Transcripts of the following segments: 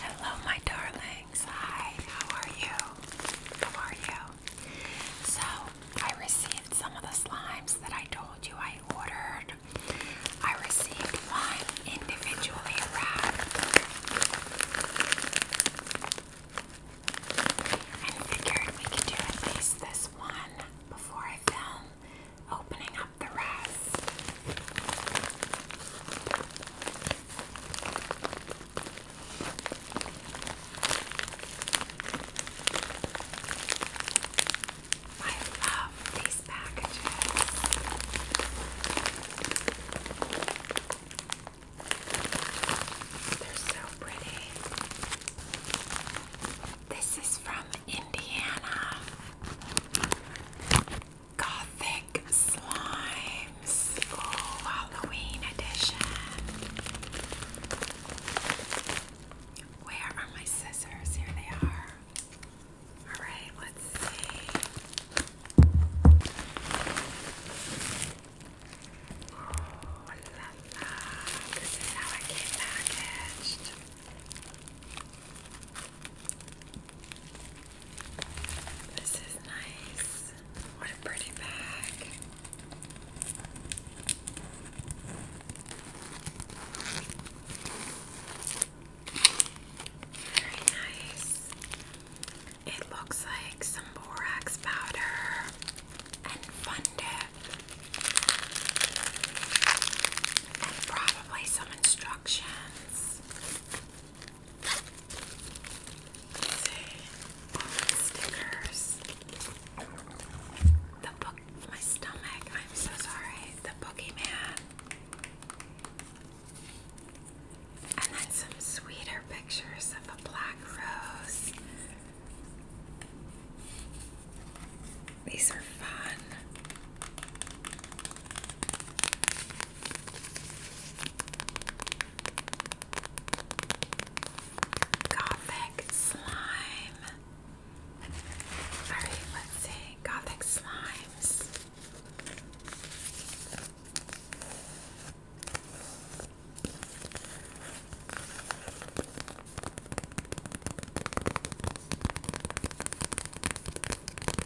Hello, my darlings. Hi, how are you? How are you? So, I received some of the slimes that I told you I ordered. I received one individually wrapped I figured we could do at least this one before I film opening up the rest. I love these packages. They're so pretty. This is from Indiana. Gothic Slimes. Oh, Halloween edition. Where are my scissors? Here they are. Alright, let's see. Oh, la, la. This is how it came packaged. This is nice. What a pretty bag. Very nice. It looks like some borax powder and fun And probably some instructions stickers. The book, my stomach, I'm so sorry. The Pokemon. And then some sweeter pictures of a black rose. These are fun. Gothic slime. Alright, let's see. Gothic slimes.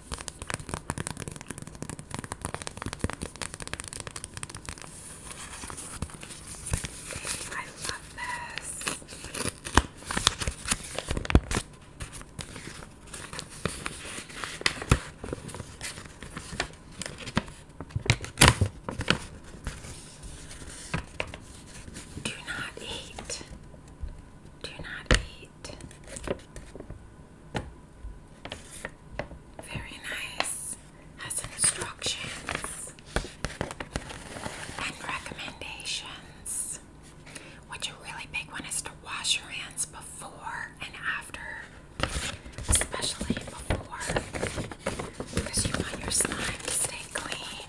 I love this. Do not eat. Do not eat white. Very nice. Has instructions and recommendations. What's really big one is to wash your hands before and after, especially before, because you want your slime to stay clean.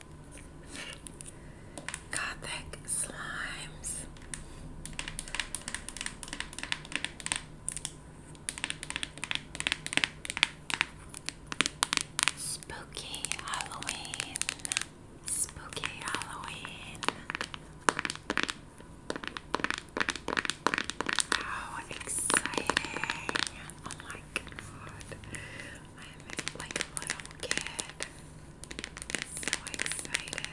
Gothic slimes. Spooky Halloween. Spooky Halloween. How exciting! Oh my god. I'm like little kid. So excited.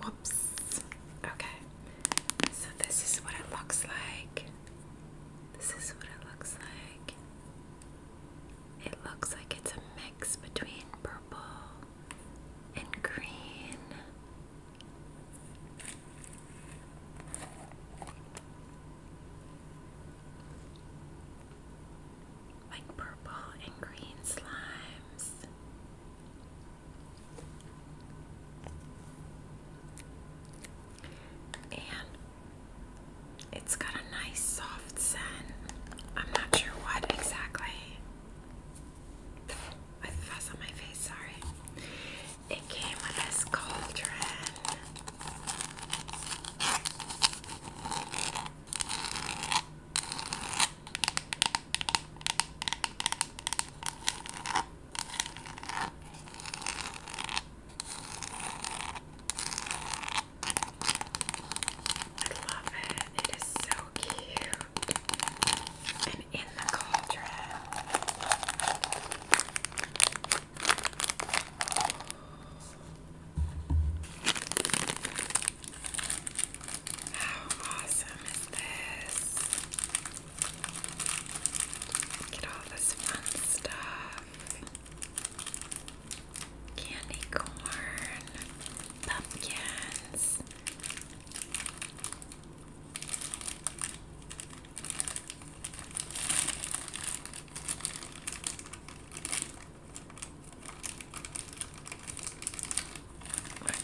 Whoops. Okay. So this is what it looks like. This is what it looks like. It looks like it's a mix between purple and green like purple and green slimes. And it's got a nice soft scent. I'm not sure what exactly. I have fuzz on my face, sorry. It came with a cauldron. I love it. It is so cute. And in the cauldron how awesome is this? Look at all this fun stuff. Candy corn, pumpkins. Let's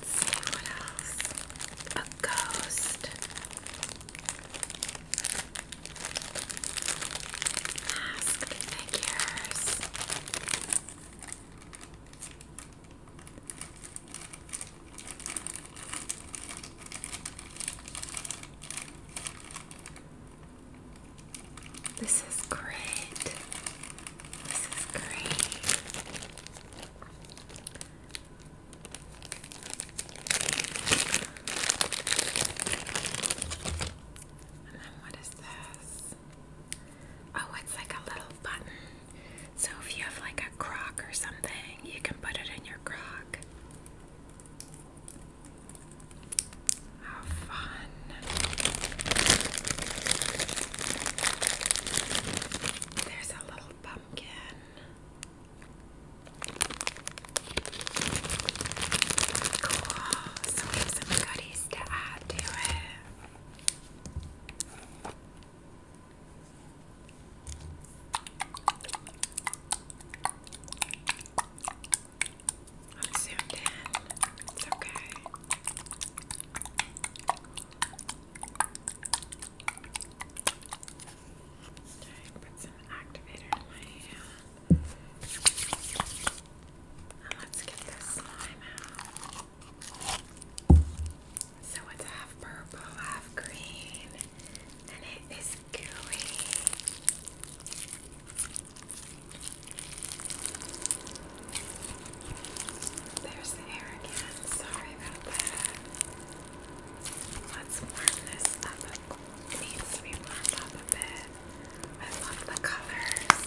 see what else. A ghost. Mask figures. This is great. This is great. And then what is this? Oh, it's like a little button. So if you have like a crock or something, you can put it in your crock. Have fun. There's a little pumpkin. Cool. So we have some goodies to add to it. I'm zoomed in. It's okay. Okay, put some activator in my hand. Now let's get this slime out. So it's half purple, half green and it is gooey. There's air again. Sorry about that. Let's warm this up. It needs to be warmed up a bit. I love the colors.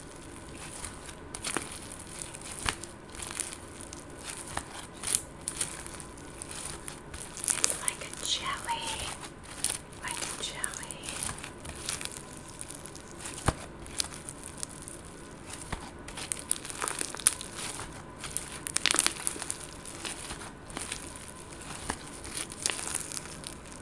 It's like jelly, like jelly.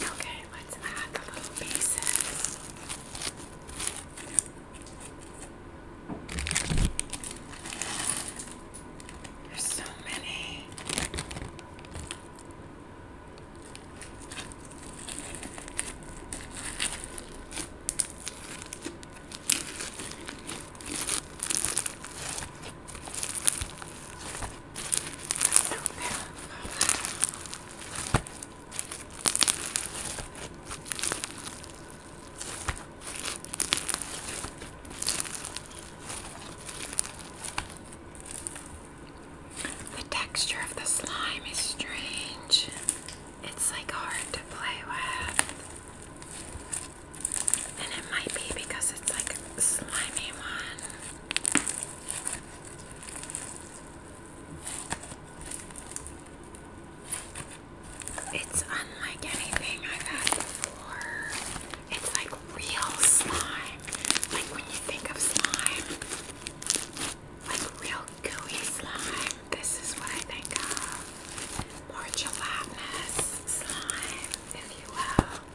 Okay, let's add a little pieces. There's so many. The texture of the slime is strange. It's like hard to play with. And it might be because it's like a slimy one. It's unlike anything I've had before. It's like real slime. Like when you think of slime, like real gooey slime, this is what I think of. More gelatinous slime, if you will. It's fun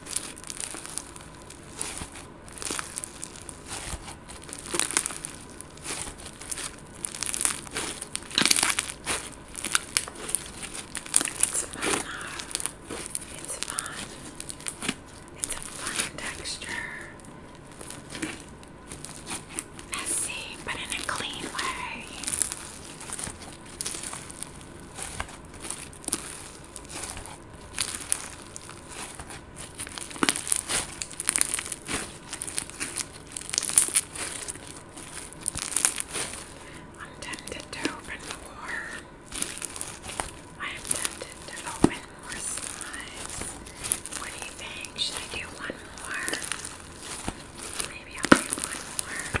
though. It's fun. It's a fun texture. Messy, but in a clean way. I'm tempted to open more. I am tempted to open more slides. What do you think? Should I do one more? Maybe I'll do one more.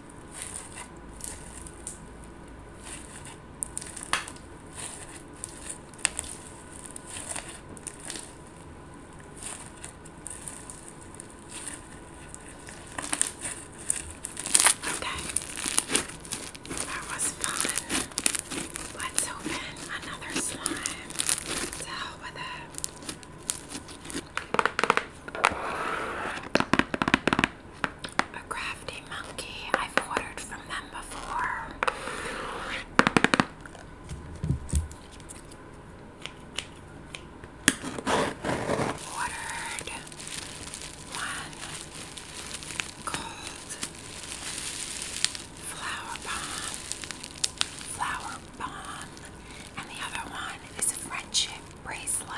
Okay, that was fun. Let's open another slime to help with it a crafty monkey. I've ordered from them before. Ordered one called Flower Bomb, Flower Bomb, and the other one is Friendship bracelet.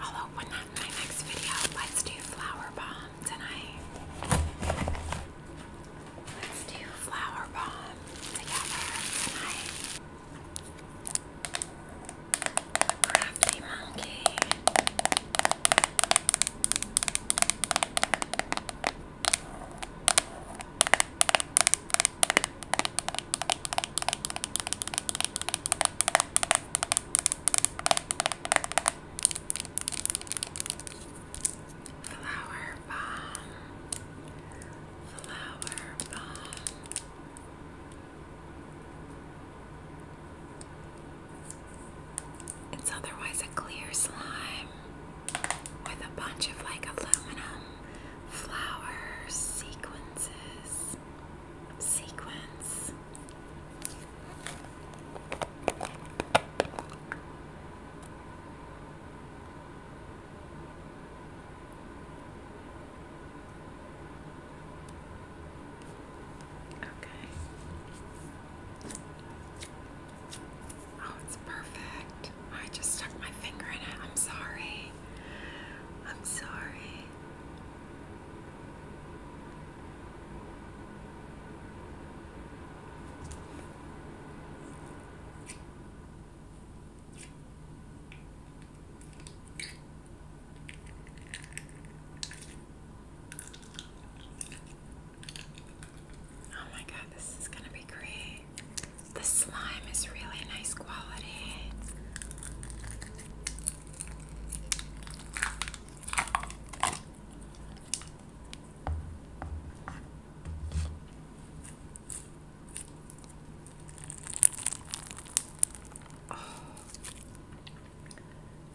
I'll open that in my next video. Let's do flower bomb tonight. Let's do flower bomb together tonight. Crafty monkey. Flower bomb, flower bomb. It's otherwise a clear slime with a bunch of like aluminum flower sequences sequence. Okay. Oh, it's perfect. I just stuck my finger in it. I'm sorry. I'm sorry. Oh my god, this is gonna be great. The slime is really nice quality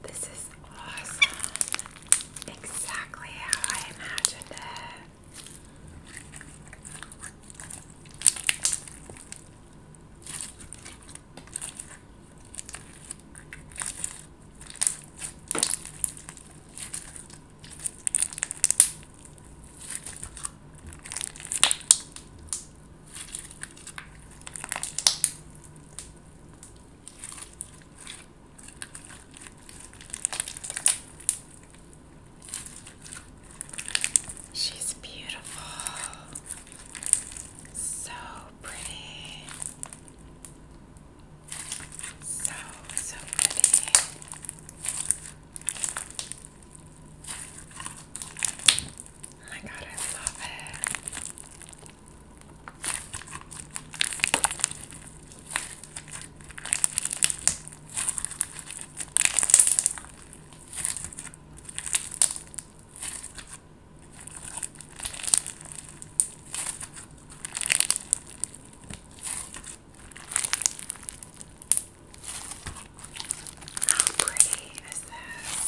this is awesome. Exactly how I imagined it. She's beautiful. So pretty. So, so pretty. Oh my god, I love it. How pretty is this?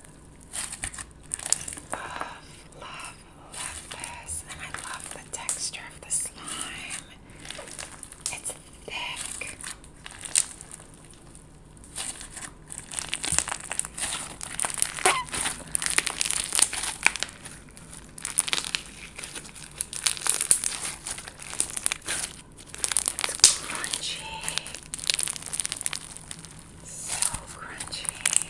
Love, love, love this. And I love the texture of the slime. It's thick. It's crunchy. So crunchy.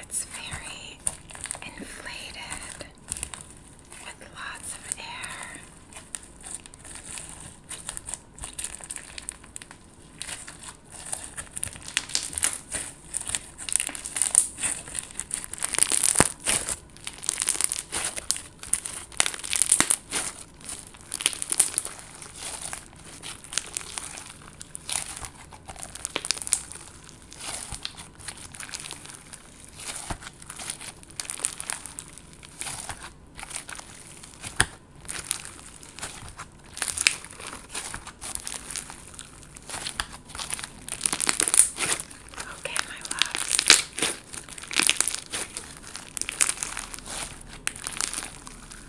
It's very inflated with lots of air. Okay, my love.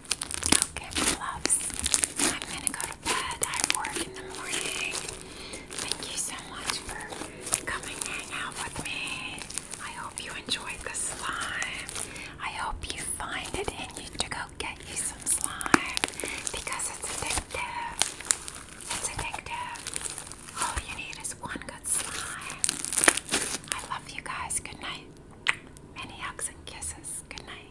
Okay, my I'm gonna go to bed. I work in the morning. Thank you so much for coming hang out with me. I hope you enjoyed the slime. I hope you find it in you to go get you some slime because it's addictive. It's addictive. All you need is one good slime. I love you guys. Good night. Many hugs and kisses. Good night.